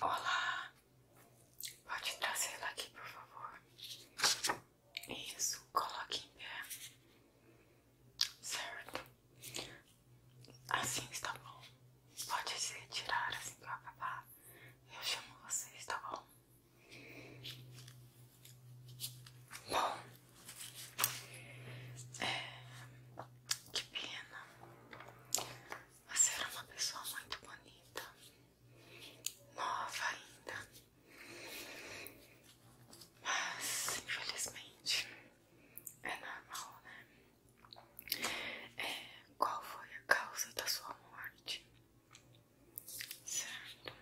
Olá, pode trazer ela aqui, por favor. Isso, coloque em pé. Certo. Assim está bom. Pode se retirar assim que eu acabar. Eu chamo você, está bom? Bom, que pena. Você era uma pessoa muito bonita, nova ainda. Mas, infelizmente, é normal, né? É, qual foi a causa da sua morte? Certo.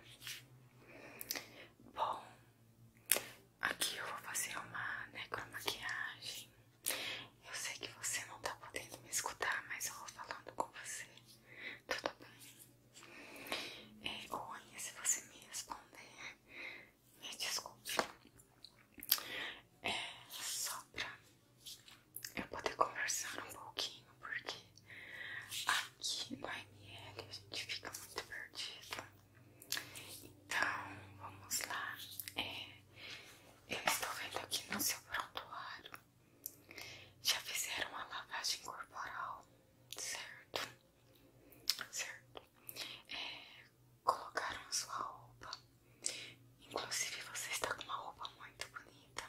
Bom, Aqui eu vou fazer uma necromaquiagem. Né, eu sei que você não tá podendo me escutar, mas eu vou falando com você. Tudo bem? É, Oni, se você me responder, me desculpe. É só pra eu poder conversar um pouquinho, porque aqui no ML a gente fica muito perdido. Então, vamos lá. É, eu estou vendo aqui no seu prontuário. Já fizeram a lavagem corporal, certo? Certo. É, colocaram sua roupa. Inclusive, você está com uma roupa muito bonita.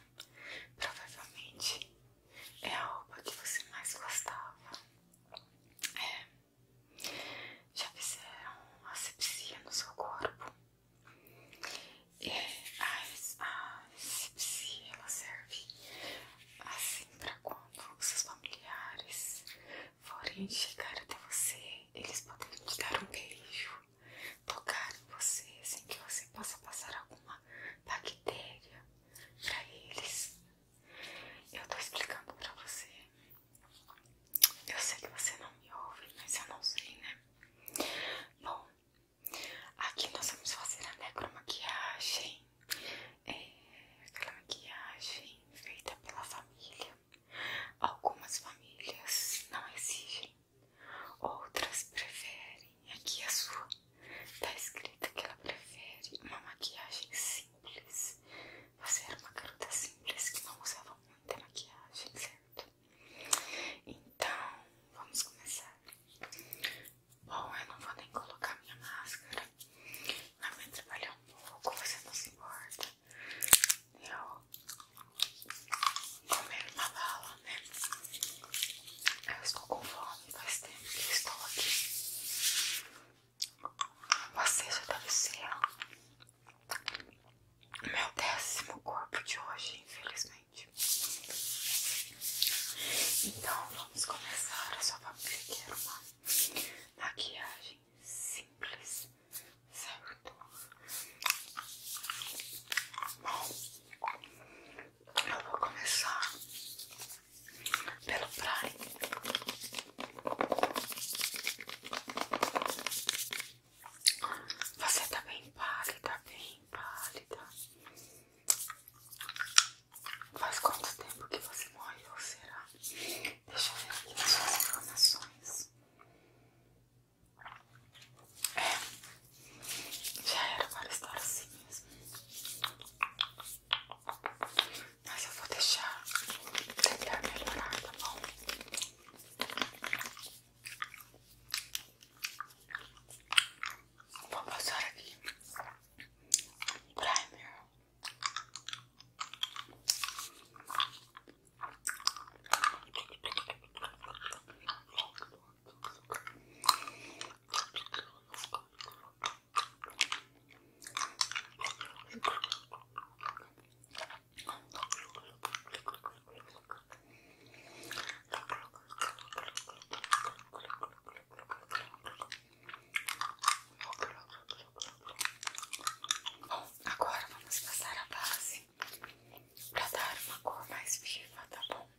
Provavelmente é a roupa que você mais gostava. É. Já fizeram asepsia no seu corpo. É, a, a ela serve assim para quando seus familiares forem chegar até você, eles podem te dar um beijo, tocar em você sem assim que você possa passar alguma bactéria pra eles. Eu tô explicando pra você. Eu sei que você não me ouve, mas eu não sei, né? Bom, aqui nós vamos fazer a necromaquiagem. É aquela maquiagem feita pela família. Algumas famílias não exigem, outras preferem. E aqui a sua. Tá escrita que ela prefere uma maquiagem simples. Você era uma garota simples que não usava muita maquiagem, certo? Então, vamos começar. Bom, eu não vou nem colocar minha máscara. Mas vai trabalhar um pouco, você não se importa. Eu comer uma bala. Eu estou com fome, faz tempo que estou aqui. Você já deve ser meu décimo corpo de hoje, infelizmente. Então vamos começar. a sua vou maquiagem simples, certo? Bom, eu vou começar pelo prime. Você está bem pálida, bem pálida. Faz quanto tempo que você morreu, será? Deixa eu ver aqui as informações. É. já era para estar assim mesmo. Mas eu vou deixar tentar melhorar, tá bom? Vou passar aqui um primer. Bom, agora vamos passar a base para dar uma cor mais viva, tá bom?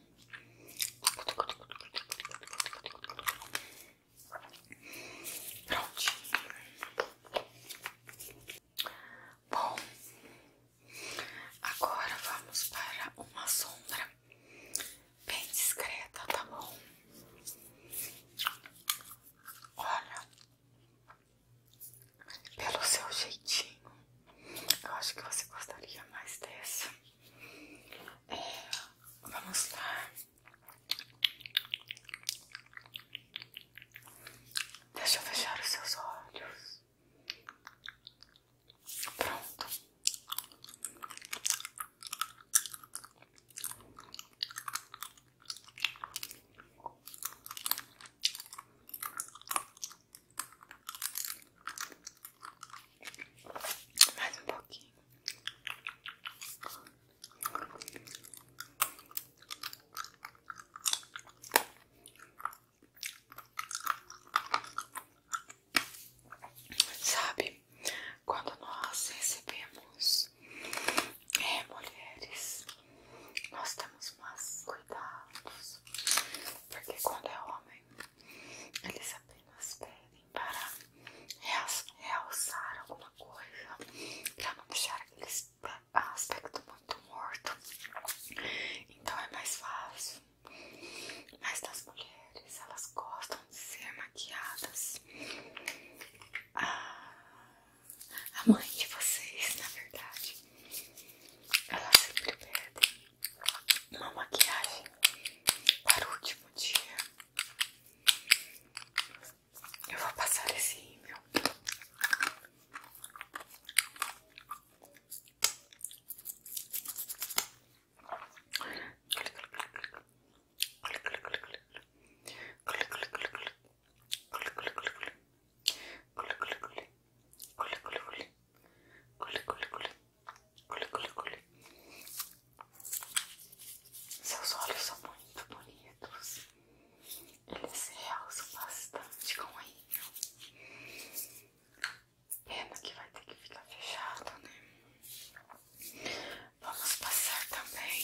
Prontinho. Bom, agora vamos para uma sombra bem discreta, tá bom? Olha, pelo seu jeitinho. Eu acho que você gostaria mais dessa. É, vamos lá. Deixa eu fechar os seus olhos. Pronto. Mais um pouquinho. Sabe, quando nós recebemos é, mulheres nós temos mais cuidados, porque quando é homem, eles apenas pedem para realçar alguma coisa, para não deixar aquele aspecto muito morto. Então é mais fácil. Mas das mulheres, elas gostam de ser maquiadas. Ah, a mãe de vocês, na verdade, ela sempre pede uma maquiagem para o último dia. Eu vou passar esse rímel. Seus olhos são muito bonitos. Eles se realçam bastante com a ilha. Pena que vai ter que ficar fechado, né? Vamos passar também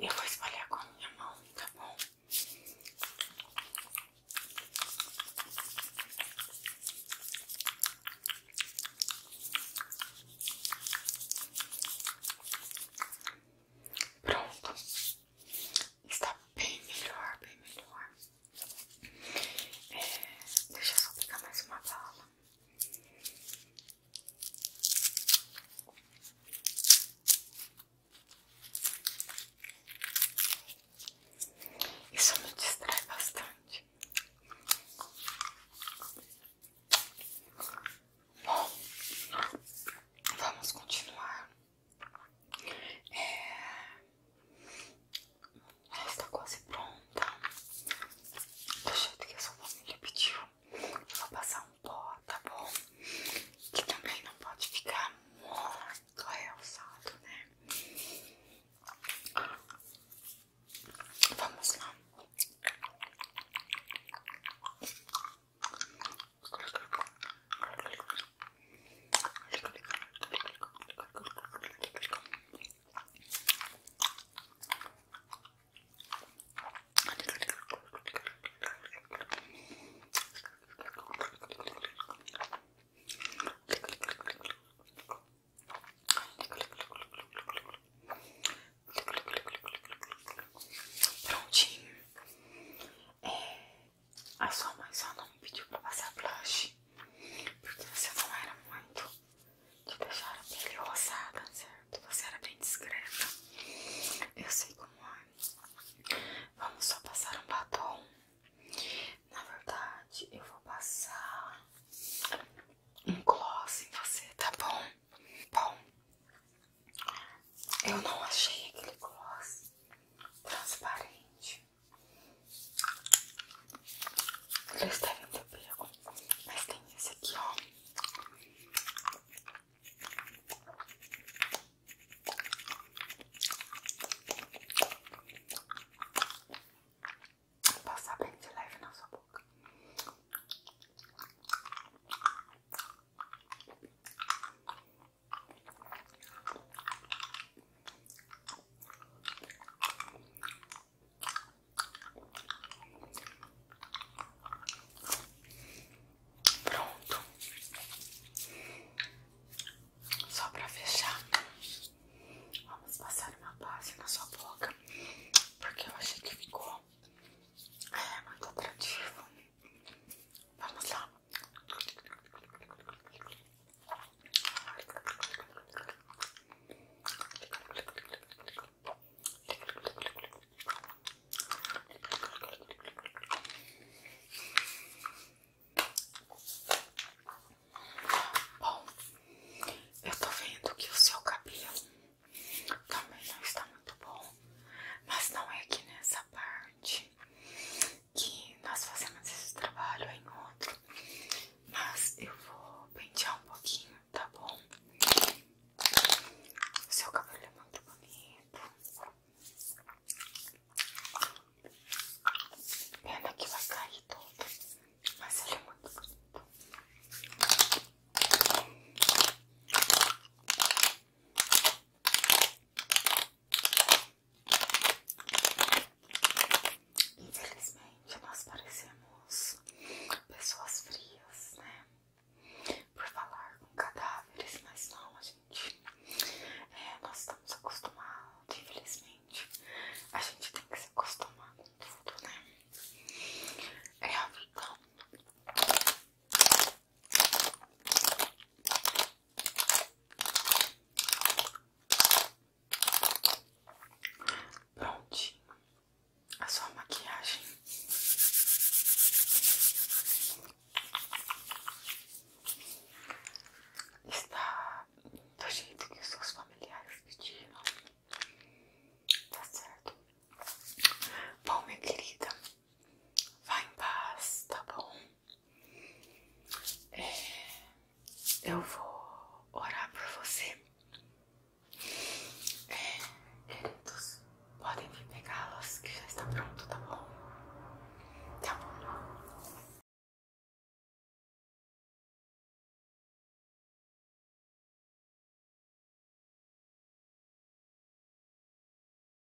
Eu vou espalhar com minha mão, tá bom? Pronto, está bem melhor, bem melhor. É, deixa eu só pegar mais uma bala. Isso me distrai bastante. Bom, vamos continuar. É... Ela está quase pronta. Do jeito que a sua família pediu, eu vou passar um pó, tá bom? Que também não pode ficar muito realçado, né? Vamos lá. Prontinho. É, a sua mãe só não me pediu para passar blush. Porque você não era muito te deixaram a pele roçada, certo? Você era bem discreta. Eu sei como é. Vamos só passar um batom. Na verdade, eu vou passar um gloss em você, tá bom? Bom, eu não achei aquele gloss transparente. Vocês devem ter pego. Mas tem esse aqui, ó. passar bem de leve na sua boca. Pronto, só para fechar, vamos passar uma base na sua boca porque eu achei que ficou é, muito atrativo. Vamos lá. Bom, eu estou vendo que o seu cabelo também não está muito bom, mas não é aqui nessa parte que nós fazemos esse trabalho em outro, mas eu vou pentear um pouquinho, tá bom? O seu cabelo é muito bonito. Pena que vai cair todo, mas ele é muito bonito. Infelizmente, nós parecemos pessoas frias, né? Por falar com cadáveres, mas não, a gente. É, nós estamos acostumados, infelizmente. A gente tem que se acostumar com tudo, né? É a vida. Prontinho a sua maquiagem. Está do jeito que os seus familiares pediram. Tá certo? Bom, minha querida, vá em paz, tá bom? É, eu vou orar por você. É, queridos, podem vir pegá-los que já está pronto, tá bom? Tá bom.